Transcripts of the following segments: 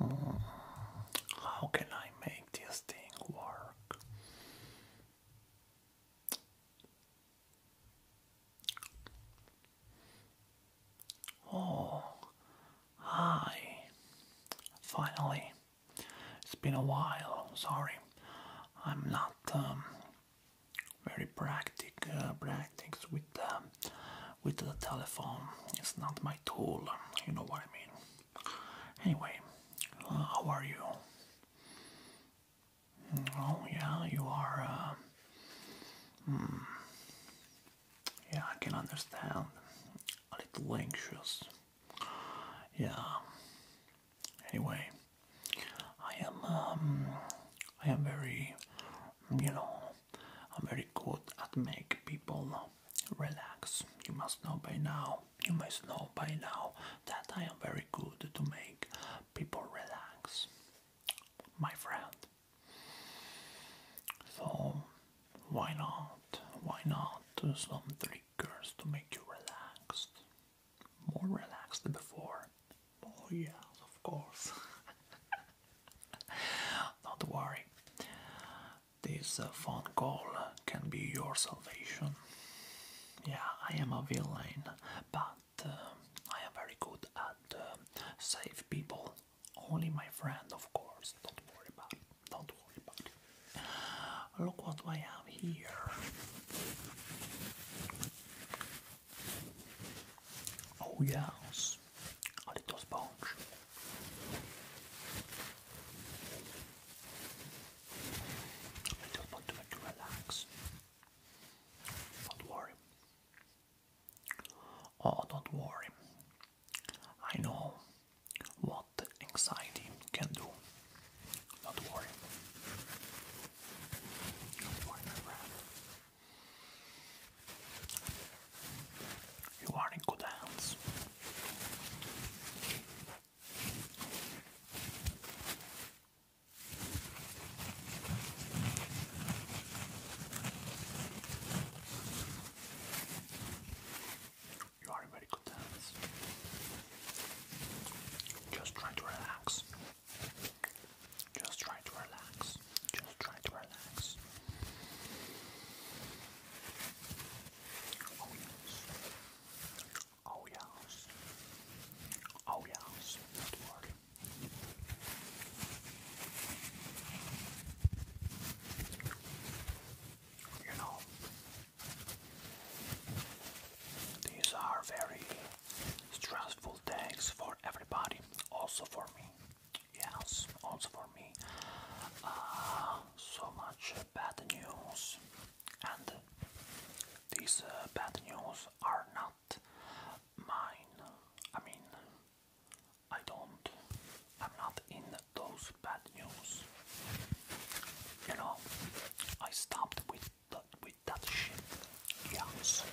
How can I make this thing work? Oh, hi. Finally. It's been a while. Sorry. I'm not um, very practical uh, with um, with the telephone. It's not my tool. You know what I mean. Anyway, uh, how are you? Oh yeah, you are. Uh, hmm. Yeah, I can understand. A little anxious. Yeah. Anyway, I am um, I am very, you know, I'm very good at make people relax. You must know by now. You must know by now that I am very good to make people relax, my friend. So why not? Why not do uh, some triggers to make you relaxed? more relaxed than before. Oh yes, of course. Don't worry. This uh, phone call can be your salvation. Yeah, I am a villain, but uh, I am very good at uh, save people. Only my friend, of course. Don't worry about it. Don't worry about it. Look what I have here. Oh yes, a little sponge. I don't want to relax. not worry. Oh, not worry. I know what anxiety can Don't worry. You are in good hands. You are in very good hands. Just try to relax. Just try to relax. Just try to relax. Oh yes. Oh yes. Oh yes. You know, these are very stressful days for everybody, also for me. Yes, also for me. Ah, so much bad news, and these uh, bad news are not mine. I mean, I don't. I'm not in those bad news. You know, I stopped with the, with Dutch. Yes.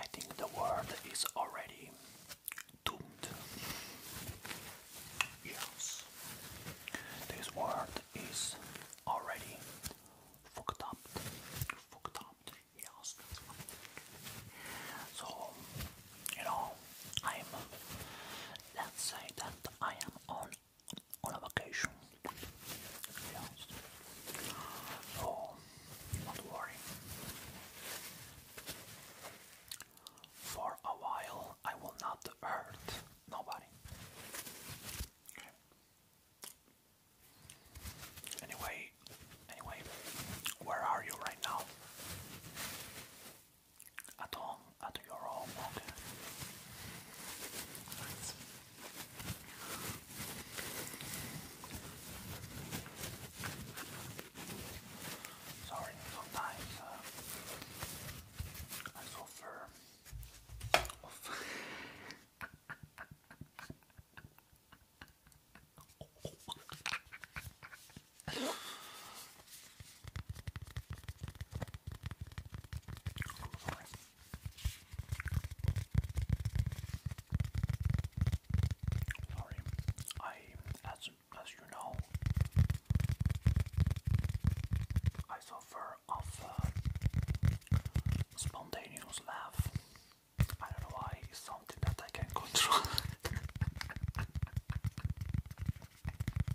I think the word is already doomed. Yes. This word is already fucked up. Fucked up. Yes. So, you know, I'm. Let's say that I am on on a vacation. Yes. So, don't worry. For a while, I will not hurt nobody. Anyway, anyway, where are you right now? At home, at your home, Sorry, sometimes uh, I suffer of I'm sorry. Sorry, I as as you know, I suffer of uh, spontaneous laugh. I don't know why it's something that I can control.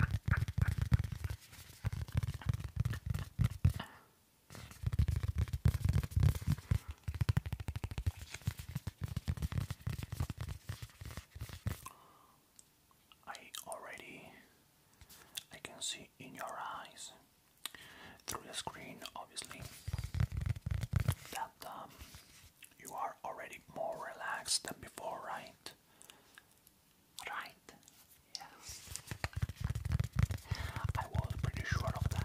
I already I can see in your eyes through the screen obviously that um, you are already more relaxed than before, right? right? Right? Yes. I was pretty sure of that.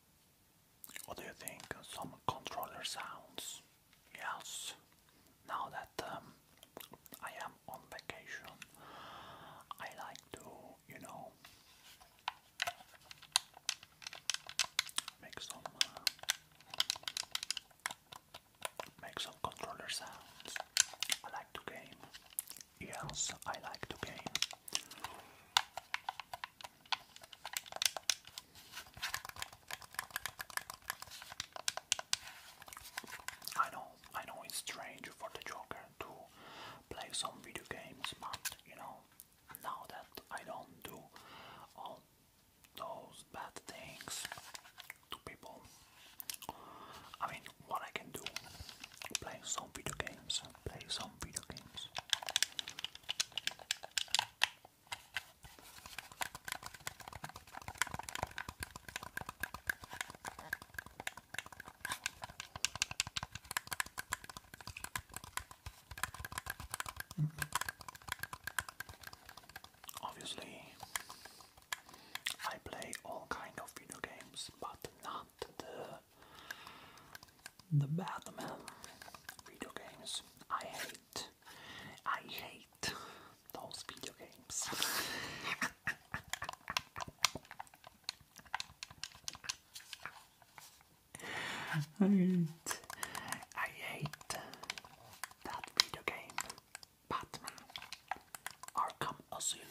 What do you think? Some controller sounds? Yes. Now that um, I am on vacation, I like to, you know, make some uh, make some controller sounds. I like to game. Yes, I like to game. I know, I know it's strange for the Joker to play some video games, but you know, now that I don't do all those bad things to people, I mean, what I can do, play some video games, play some video games. Mm -hmm. Obviously, I play all kind of video games, but not the the Batman video games. I hate, I hate those video games. I hate, I hate that video game, Batman Arkham Asylum.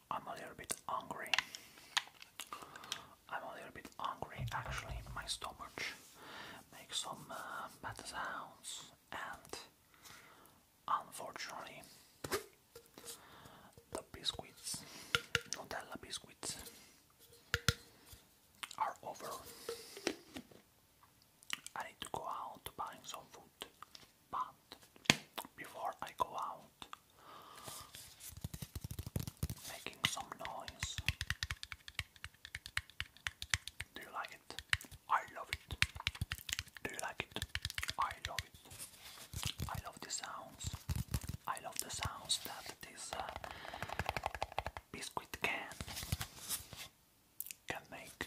I'm a little bit hungry. I'm a little bit hungry actually. My stomach makes some uh, bad sounds, and unfortunately, the biscuits, Nutella biscuits, are over. I need to go out to buy some food. But before I go out making some noise. Do you like it? I love it. Do you like it? I love it. I love the sounds. I love the sounds that this uh, biscuit can can make.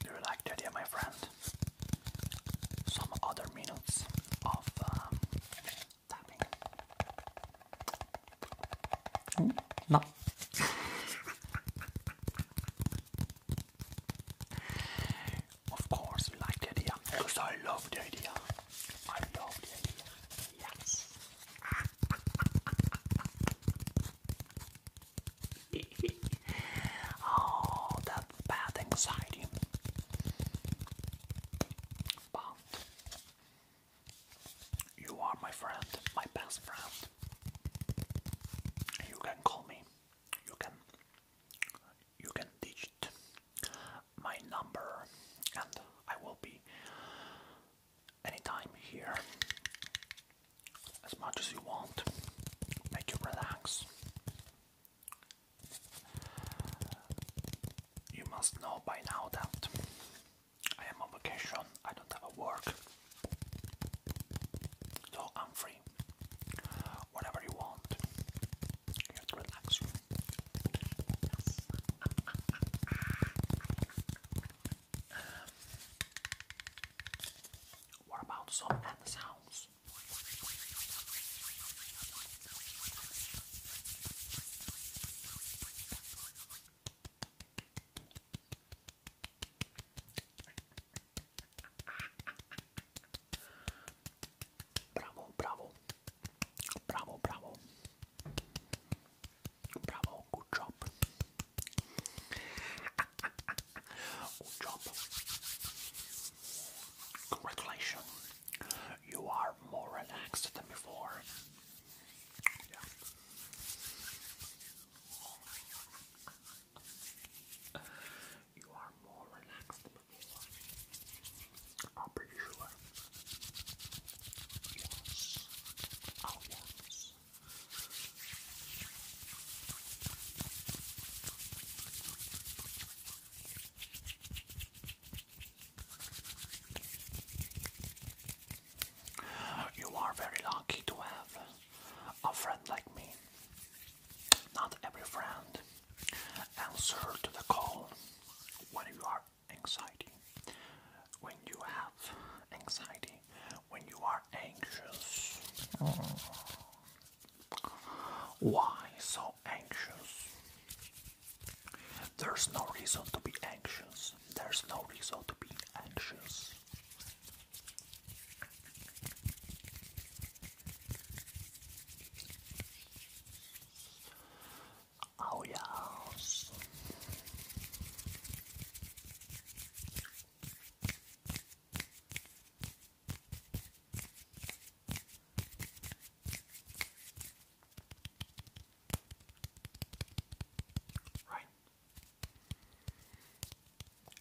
Do you like the my friend? Some other minutes of um, tapping. Mm, no. of course, we like the because I love the idea. I love the Yes. oh, that bad anxiety. But you are my friend, my best friend. You can call me. You can you can digit my number and I will be anytime here as much as you want, make you relax. You must know by now that I am on vacation, I don't have a work, so I'm free. Whatever you want, you relax. What about some hand sounds? Bravo, bravo, bravo, bravo, bravo, good job, Good job. Congratulations. You are more relaxed than before. You are more relaxed than before. I'm pretty sure. Oh, you are very lucky to have a friend like me. Not every friend answers to the call when you are anxiety. When you have anxiety, when you are anxious? Mm. Why so anxious? There's no reason to be anxious. There's no reason to be anxious. Oh, yes. Right.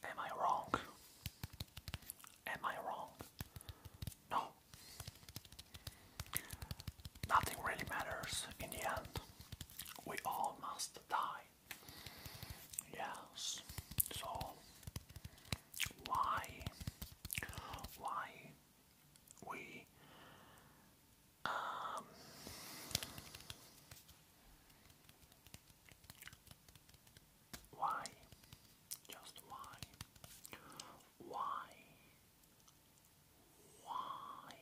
Am I wrong? Am I wrong? No. Nothing really matters in the end. We all must die. Yes. So why why we um why just why why why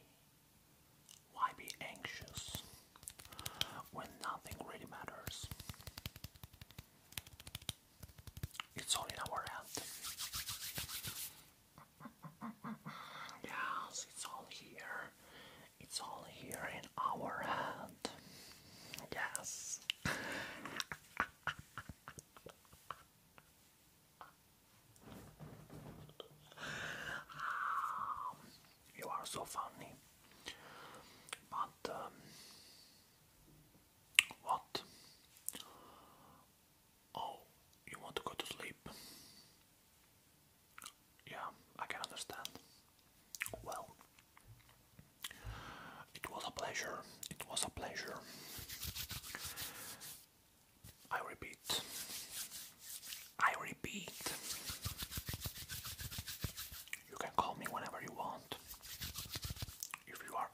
why be anxious when nothing really matters? It's all in our hand. yes, it's all here. It's all here in our hand. Yes. Ah, you are so funny. But um, what? Oh, you want to go to sleep? Yeah, I can understand. Well, it was a pleasure. It was a pleasure. I repeat, I repeat, you can call me whenever you want. If you are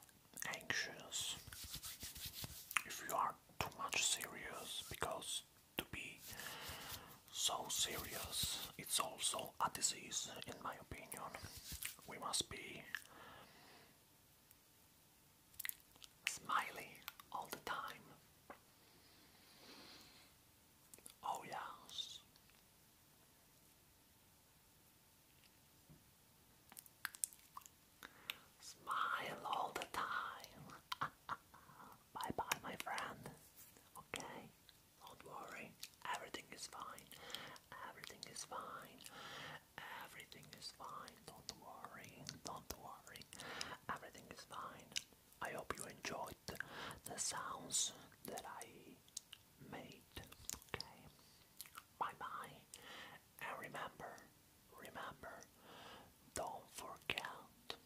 anxious, if you are too much serious, because to be so serious, it's also a disease, in my opinion. We must be smiley all the time. Oh, yes. Smile all the time. bye bye, my friend. Okay, don't worry. Everything is fine. Everything is fine. Everything is fine. Don't worry. Don't worry. Everything is fine. I hope you enjoyed the sounds that I made. Okay. Bye bye. And remember, remember, don't forget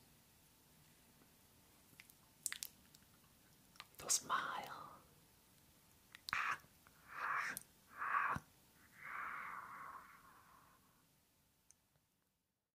to smile.